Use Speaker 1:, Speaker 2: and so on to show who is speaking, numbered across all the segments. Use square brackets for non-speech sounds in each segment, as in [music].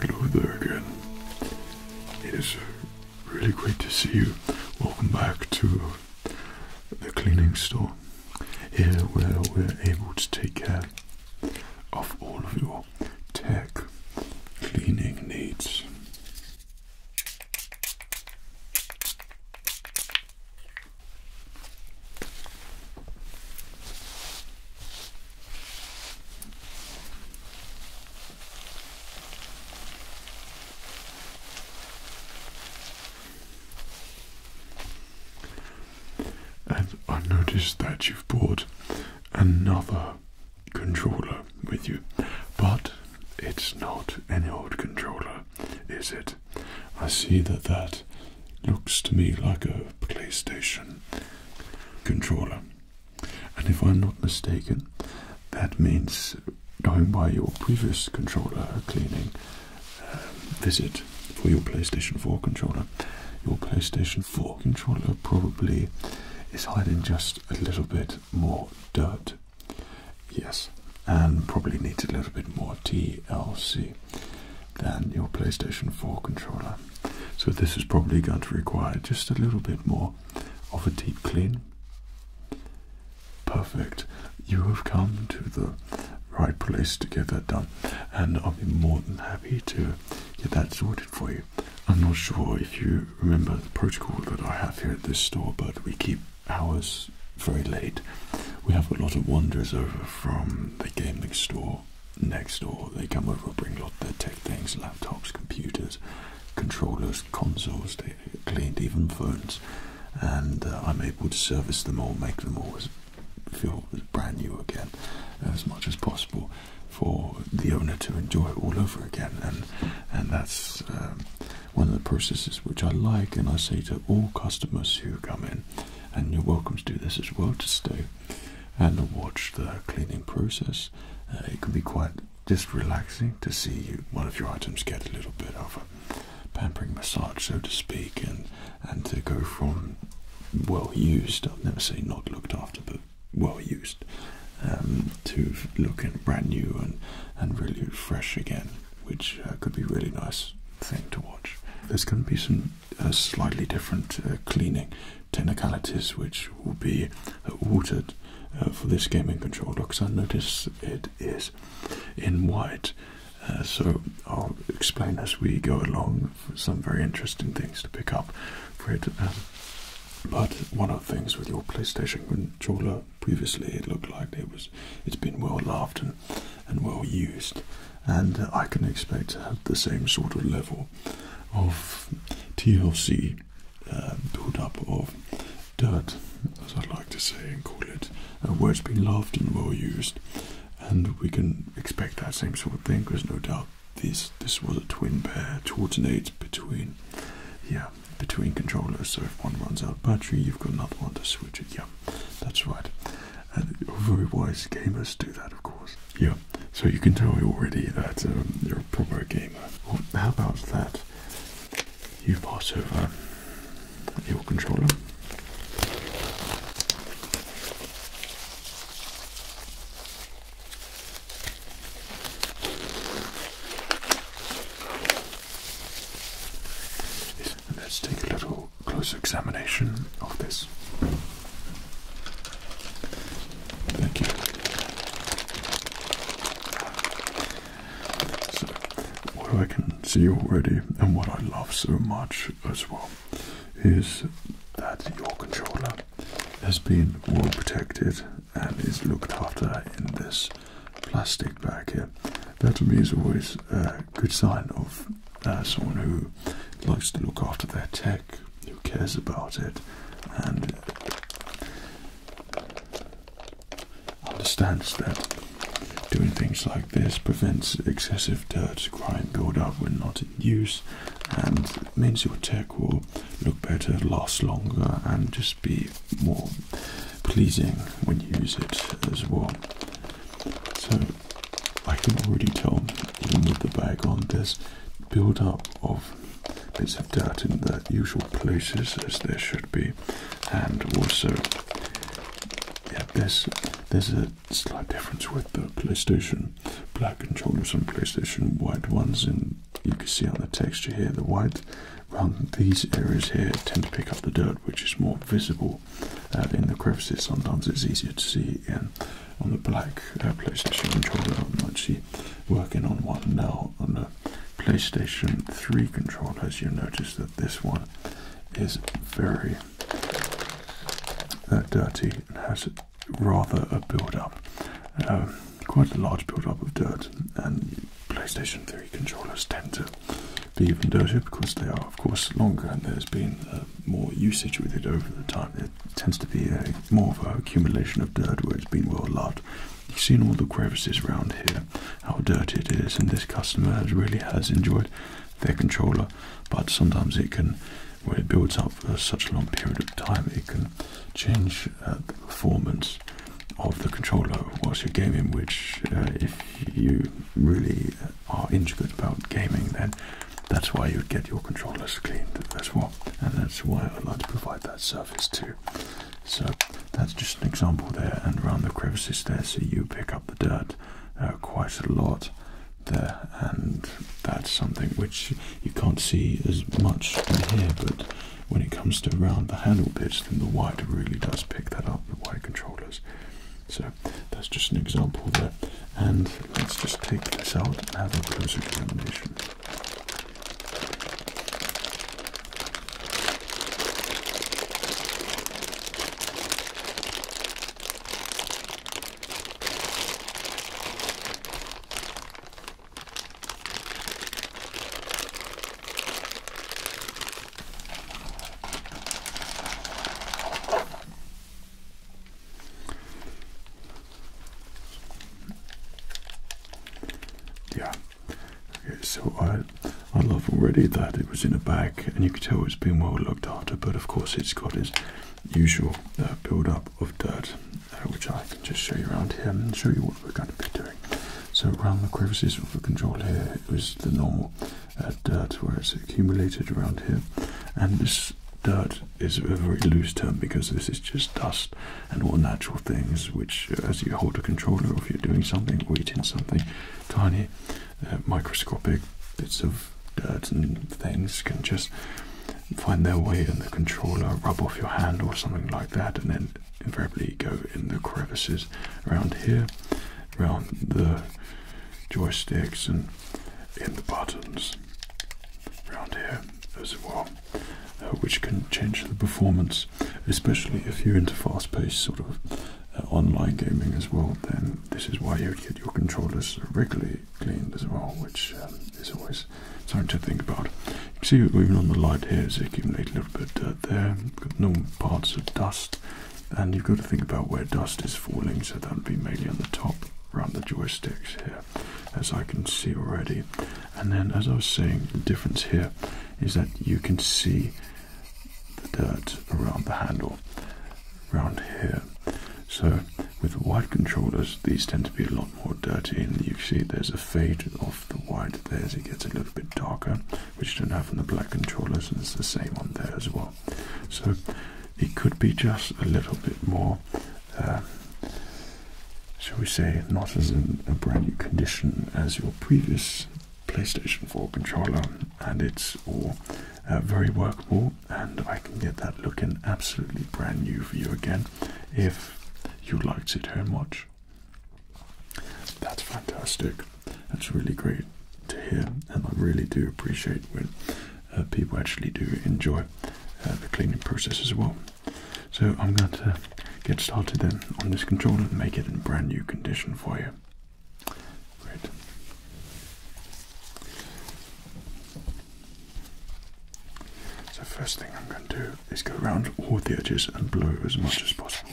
Speaker 1: Hello there again. It is uh, really great to see you. Welcome back to the cleaning store. Here where we're able to take care of all of your tech cleaning needs. And I noticed that you've brought another controller with you, but it's not any old controller, is it? I see that that looks to me like a PlayStation controller. And if I'm not mistaken, that means going by your previous controller cleaning um, visit for your PlayStation 4 controller. Your PlayStation 4 controller probably is hiding just a little bit more dirt. Yes, and probably needs a little bit more TLC than your PlayStation 4 controller. So this is probably going to require just a little bit more of a deep clean. Perfect. You have come to the right place to get that done, and I'll be more than happy to get that sorted for you. I'm not sure if you remember the protocol that I have here at this store, but we keep hours very late. We have a lot of wonders over from the gaming store next door. They come over and bring a lot of their tech things, laptops, computers, controllers, consoles, they cleaned even phones. And uh, I'm able to service them all, make them all as, feel brand new again as much as possible for the owner to enjoy it all over again. And, and that's um, one of the processes which I like and I say to all customers who come in, and you're welcome to do this as well, to stay and watch the cleaning process. Uh, it can be quite just relaxing to see one of your items get a little bit of a pampering massage, so to speak, and and to go from well used, I'll never say not looked after, but well used, um, to looking brand new and, and really fresh again, which uh, could be a really nice thing to watch. There's going to be some slightly different uh, cleaning technicalities which will be uh, altered uh, for this gaming controller because I notice it is in white. so I'll explain as we go along some very interesting things to pick up for it. Um, but one of the things with your PlayStation controller previously, it looked like it was it's been well loved and, and well used, and I can expect the same sort of level of TLC uh, um, build-up of dirt, as I like to say and call it, uh, where has been loved and well used. And we can expect that same sort of thing, because no doubt this this was a twin pair to alternate between, yeah, between controllers. So if one runs out of battery, you've got another one to switch it. Yeah, that's right. And very wise gamers do that, of course. Yeah, so you can tell already that um, you're a proper gamer. how about that? You pass over um, your controller. Let's take a little closer examination of this. Thank you. what I can see already, and what I love so much as well, is that your controller has been well protected and is looked after in this plastic bag here. That to me is always a good sign of uh, someone who likes to look after their tech who cares about it and understands that doing things like this prevents excessive dirt grime build-up when not in use and means your tech will look better, last longer and just be more pleasing when you use it as well. So I can already tell even with the bag on this build up of bits of dirt in the usual places as there should be and also yeah there's there's a slight difference with the PlayStation black controllers and PlayStation white ones and you can see on the texture here the white around these areas here tend to pick up the dirt which is more visible uh, in the crevices sometimes it's easier to see in on the black uh, PlayStation controller. I'm actually working on one now on the PlayStation 3 controller. As you notice that this one is very uh, dirty and has rather a build-up, um, quite a large build-up of dirt. And PlayStation 3 controllers tend to be even dirtier because they are, of course, longer and there's been more usage with it over the time. It tends to be a more of an accumulation of dirt where it's been well loved. You've seen all the crevices around here, how dirty it is, and this customer really has enjoyed their controller, but sometimes it can, when it builds up for such a long period of time, it can change uh, the performance of the controller whilst you're gaming, which uh, if you really are into intricate about gaming, then that's why you get your controllers cleaned as well, and that's why I like to provide that service too. So that's just an example there, and around the crevices there, so you pick up the dirt uh, quite a lot there, and that's something which you can't see as much from here, but when it comes to around the handle bits, then the white really does pick that up, the white controllers. So that's just an example there. And let's just take this out and have a closer examination. Yeah. Okay, so I I love already that it was in a bag and you can tell it's been well looked after, but of course it's got its usual uh, build-up of dirt, uh, which I can just show you around here and show you what we're going to be doing. So around the crevices of the control here is the normal uh, dirt where it's accumulated around here, and this dirt is a very loose term because this is just dust and all natural things, which, uh, as you hold a controller or if you're doing something, weighting something, tiny, uh, microscopic bits of dirt and things can just find their way in the controller, rub off your hand or something like that, and then invariably go in the crevices around here, around the joysticks and in the buttons round here as well, uh, which can change the performance, especially if you're into fast-paced sort of uh, online gaming as well. Then this is why you would get your controllers regularly cleaned as well, which um, is always something to think about. You can see even on the light here, it's accumulated a little bit of dirt there. got normal parts of dust, and you've got to think about where dust is falling, so that would be mainly on the top around the joysticks here as I can see already. And then as I was saying, the difference here is that you can see the dirt around the handle around here. So with white controllers, these tend to be a lot more dirty and you see there's a fade off the white there as it gets a little bit darker, which you don't have on the black controllers and it's the same on there as well. So it could be just a little bit more um, shall we say, not as in a brand new condition as your previous PlayStation 4 controller, and it's all uh, very workable. And I can get that looking absolutely brand new for you again if you like to sit here and watch. That's fantastic. That's really great to hear, and I really do appreciate it. Uh, people actually do enjoy uh, the cleaning process as well. So I'm going to get started then on this controller and make it in brand new condition for you. Great. So first thing I'm going to do is go around all the edges and blow as much as possible.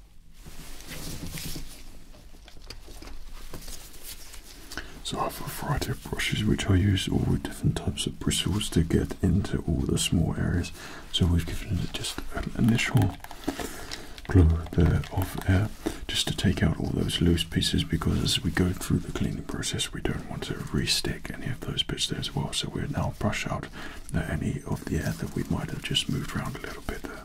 Speaker 1: So I have a variety of brushes which I use all with different types of bristles to get into all the small areas. So we've given it just an initial blow there of air just to take out all those loose pieces because as we go through the cleaning process we don't want to restick any of those bits there as well. So we'll now brush out any of the air that we might have just moved around a little bit there.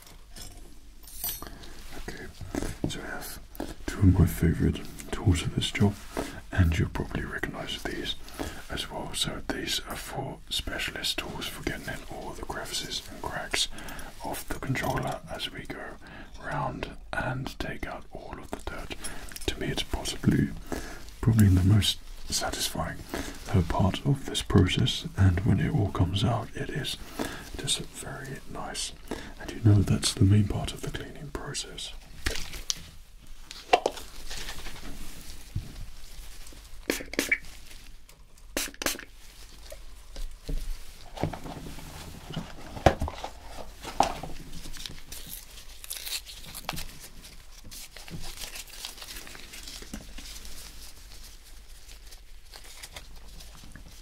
Speaker 1: Okay, so I have two of my favourite tools of this job, and you'll probably recognise these as well. So these are four specialist tools for getting in all the crevices and cracks of the controller as we go round and take out all of the dirt. To me, it's possibly probably the most satisfying part of this process, and when it all comes out, it is just very nice. And you know that's the main part of the cleaning process.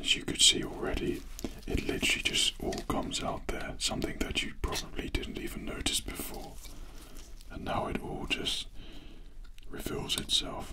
Speaker 1: As you could see already, it literally just all comes out there, something that you probably didn't even notice before. And now it all just refills itself.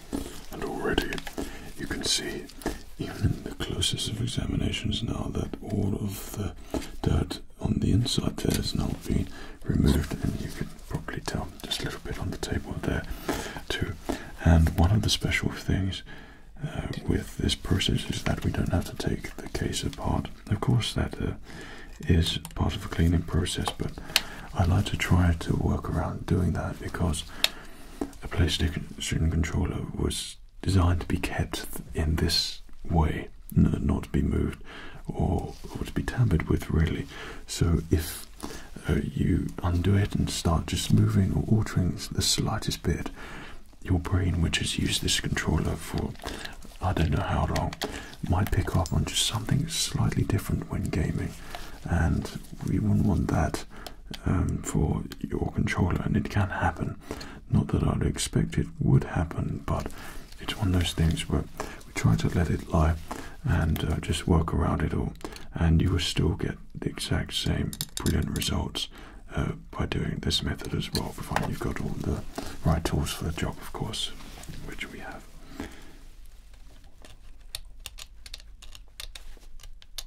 Speaker 1: And already you can see, even in the closest of examinations now, that all of the dirt on the inside there has now been removed, and you can probably tell just a little bit on the table there too. And one of the special things uh, with this process is that we don't have to take the case apart. Of course, that uh, is part of the cleaning process, but I like to try to work around doing that because a PlayStation controller was designed to be kept in this way, not to be moved or, to be tampered with, really. So if uh, you undo it and start just moving or altering the slightest bit, your brain, which has used this controller for I don't know how long, might pick up on just something slightly different when gaming, and we wouldn't want that um, for your controller, and it can happen. Not that I'd expect it would happen, but it's one of those things where we try to let it lie and uh, just work around it all, and you will still get the exact same brilliant results uh, by doing this method as well, provided you've got all the right tools for the job, of course, which we have.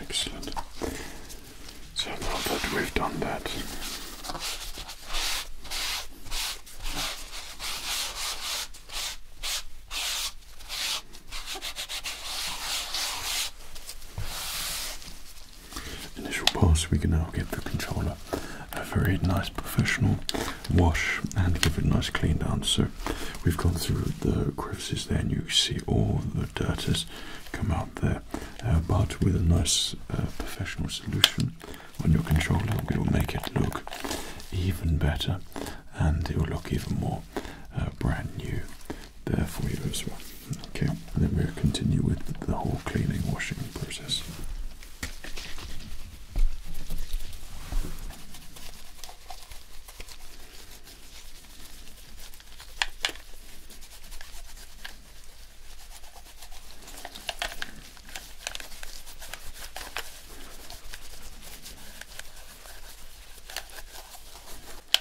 Speaker 2: Excellent. So now that
Speaker 1: we've done that, Initial pass, we can now give the controller a very nice professional wash and give it a nice clean down. So we've gone through the crevices there and you see all the dirt has come out there. Uh, but with a nice uh, professional solution on your controller, we will make it look even better and it will look even more uh, brand new there for you as well. Okay, and then we'll continue with the whole cleaning washing process.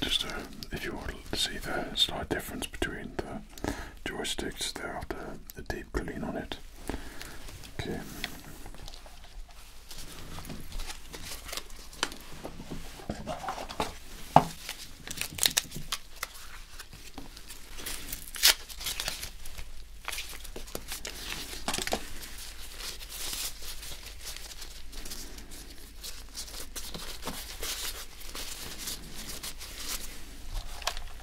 Speaker 1: Just uh, if you want to see the slight difference between the joysticks, they after the deep clean on it. Okay.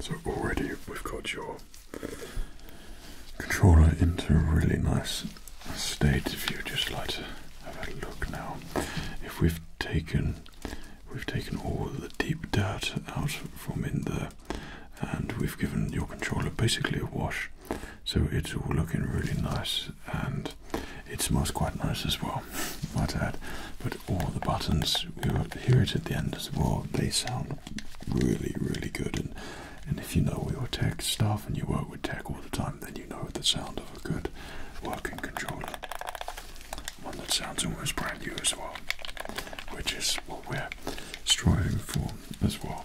Speaker 1: So already we've got your controller into a really nice state. If you'd just like to have a look now, if we've taken we've taken all the deep dirt out from in there, and we've given your controller basically a wash, so it's all looking really nice and it smells quite nice as well, [laughs] might add. But all the buttons, you will hear it at the end as well. They sound really, really good. And and if you know your tech stuff and you work with tech all the time, then you know the sound of a good working controller. One that sounds almost brand new as well, which is what we're striving for as well.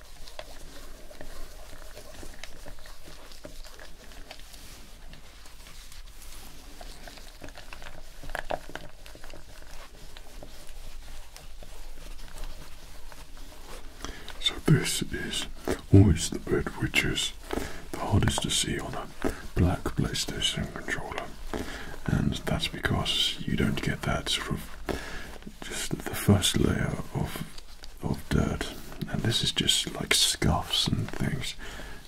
Speaker 1: So this is always the bit which is the hardest to see on a black PlayStation controller, and that's because you don't get that sort of just the first layer of of dirt, and this is just like scuffs and things,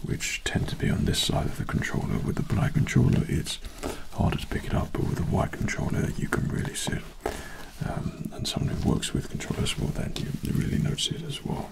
Speaker 1: which tend to be on this side of the controller. With the black controller, it's harder to pick it up, but with the white controller, you can really see it. Um, and someone who works with controllers, will then you really notice it as well.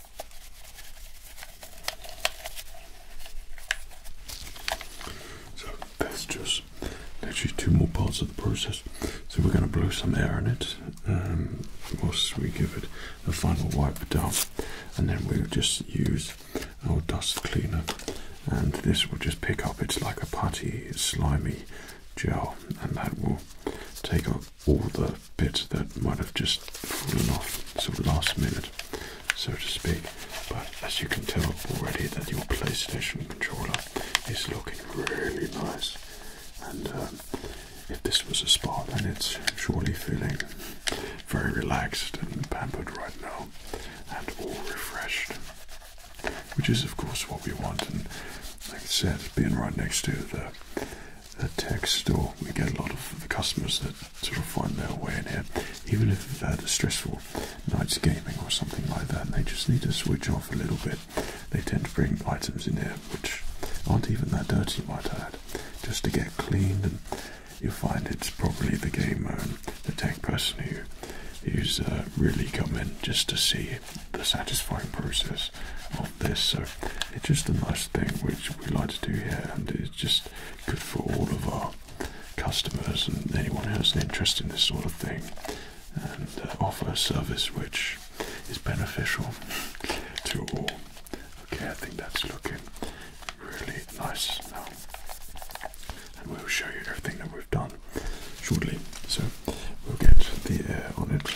Speaker 1: So that's just actually two more parts of the process. So we're going to blow some air in it um, whilst we give it a final wipe down, and then we'll just use our dust cleaner, and this will just pick up. It's like a putty slimy gel, and that will take off all the bits that might have just fallen off sort of last minute, so to speak. But as you can tell already, that your PlayStation controller is looking really nice. And um, if this was a spa, then it's surely feeling very relaxed and pampered right now, and all refreshed. Which is, of course, what we want. And like I said, being right next to the a tax store. We get a lot of customers that sort of find their way in here, even if uh, they've had a stressful night's gaming or something like that, they just need to switch off a little bit. They tend to bring items in here which aren't even that dirty, might I add, just to get cleaned. And you find it's probably the gamer the tech person who who's uh, really come in just to see the satisfying process this. So it's just a nice thing which we like to do here, and it's just good for all of our customers and anyone who has an interest in this sort of thing, and uh, offer a service which is beneficial [laughs] to all. Okay, I think that's looking really nice now, and we'll show you everything that we've done shortly. So we'll get the air on it.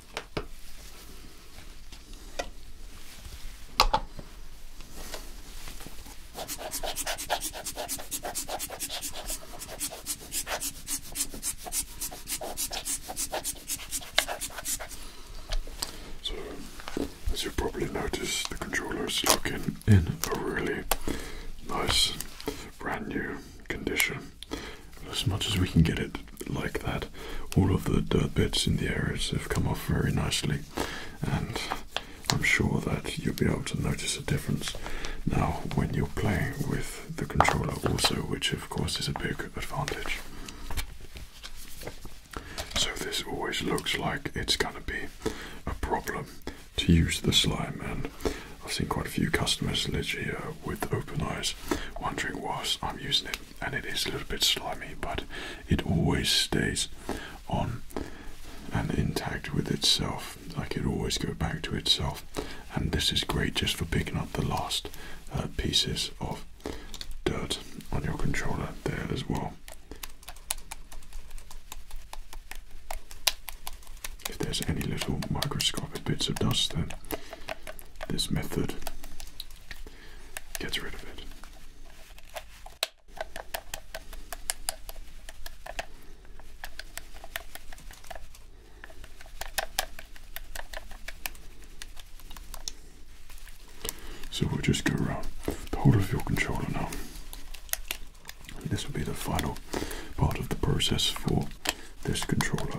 Speaker 1: So, as you probably noticed, the controller is looking in a really nice, brand new condition as much as we can get it like that, all of the dirt bits in the areas have come off very nicely, and I'm sure that you'll be able to notice a difference now when you're playing with the controller, also, which of course is a big advantage. So, this always looks like it's going to be a problem to use the slime, and I've seen quite a few customers literally uh, with open eyes, wondering whilst I'm using it, and it is a little bit slimy, but it always stays on and intact with itself. Like it always go back to itself, and this is great just for picking up the last uh, pieces of dirt on your controller there as well. If there's any little microscopic bits of dust, then this method gets rid of it. So we'll just go around the whole of your controller now. this will be the final part of the process for this controller.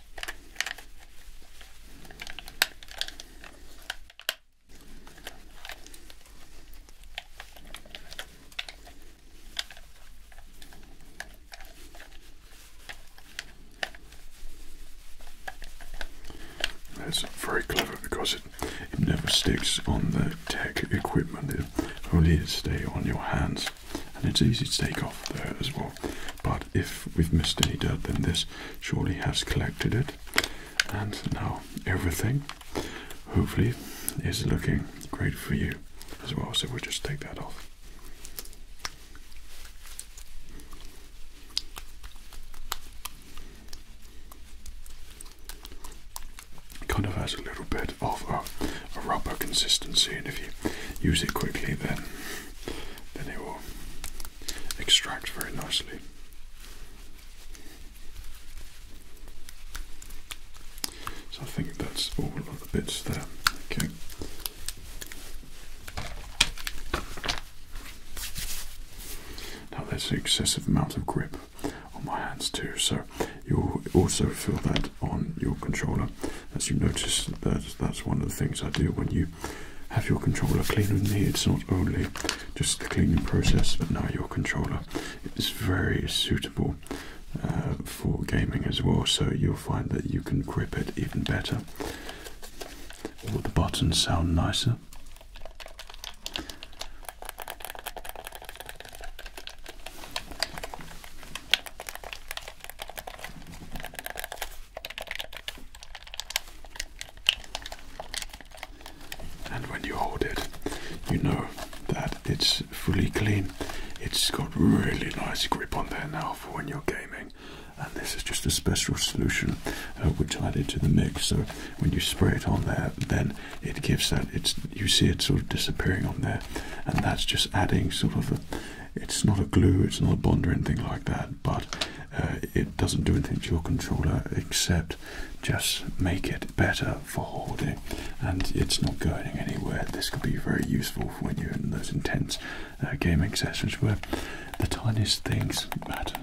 Speaker 1: That's very clever because it, never sticks on the tech equipment, it only stays on your hands and it's easy to take off there as well. But if if we've missed any dirt, then this surely has collected it. And now everything, hopefully, is looking great for you as well. So we'll just take that off. Kind of has a little bit of a rubber consistency, and if you use it quickly, then then it will extract very nicely. So I think that's all of the bits there. Okay. Now there's an excessive amount of grip on my hands too, so you'll also feel that on your controller. As you notice, that that's one of the things I do when you have your controller cleaned cleaning me. It's not only just the cleaning process, but now your controller is very suitable uh, for gaming as well. So you'll find that you can grip it even better. All the buttons sound nicer. And when you hold it, you know that it's fully clean. It's got really nice grip on there now for when you're gaming. And this is just a special solution uh, which I did to the mix. So when you spray it on there, then it gives that. It's you see it sort of disappearing on there, and that's just adding sort of a. It's not a glue. It's not a bond or anything like that but uh, it doesn't do anything to your controller except just make it better for holding and it's not going anywhere this could be very useful for when you're in those intense uh, gaming sessions where the tiniest things matter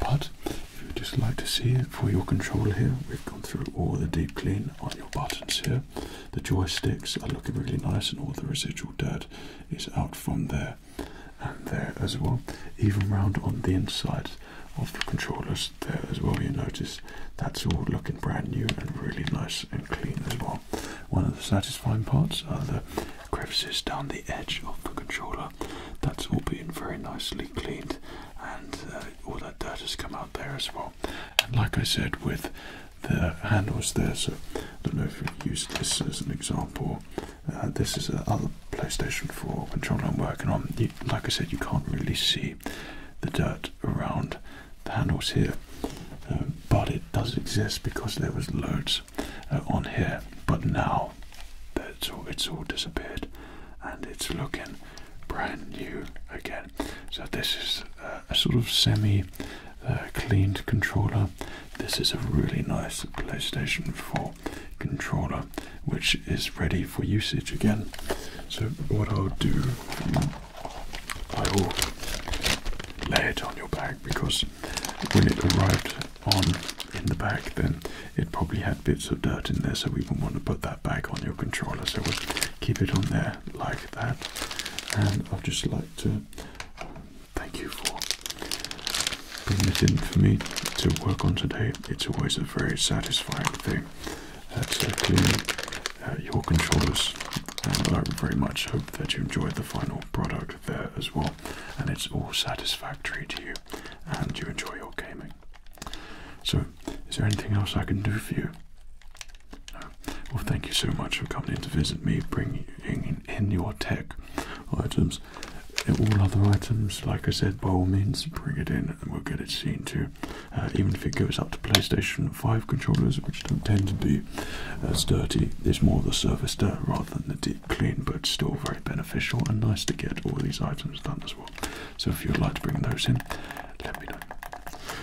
Speaker 1: but if you'd just like to see it for your controller here we've gone through all the deep clean on your buttons here the joysticks are looking really nice and all the residual dirt is out from there and there as well. Even round on the inside of the controllers there as well, you notice that's all looking brand new and really nice and clean as well. One of the satisfying parts are the crevices down the edge of the controller. That's all being very nicely cleaned and uh, all that dirt has come out there as well. And like I said with the handles there. So I don't know if you've used this as an example. Uh, this is another PlayStation 4 controller I'm working on. like I said, you can't really see the dirt around the handles here, um, but it does exist because there was loads uh, on here. But now it's all, it's all disappeared and it's looking brand new again. So this is uh, a sort of semi uh, cleaned controller. This is a really nice PlayStation 4 controller which is ready for usage again. So, what I'll do, I will lay it on your bag because when it arrived on in the bag, then it probably had bits of dirt in there, so we wouldn't want to put that back on your controller. So, we'll keep it on there like that. And I'd just like to thank you for bringing it in for me to work on today. It's always a very satisfying thing uh, to uh, your controllers, I very much hope that you enjoyed the final product there as well, and it's all satisfactory to you, and you enjoy your gaming. So, is there anything else I can do for you? Well, thank you so much for coming in to visit me, bringing in your tech items. Uh, all other items, like I said, by all means, bring it in and we'll get it seen to. Uh, even if it goes up to PlayStation 5 controllers, which don't tend to be as dirty, it's more the surface dirt rather than the deep clean, but still very beneficial and nice to get all these items done as well. So if you'd like to bring those in, let me know.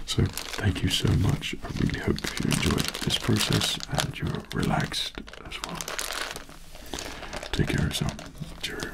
Speaker 1: So thank you so much. I really hope you enjoyed this process and your relaxed as well. Take care of yourself. Cheerio.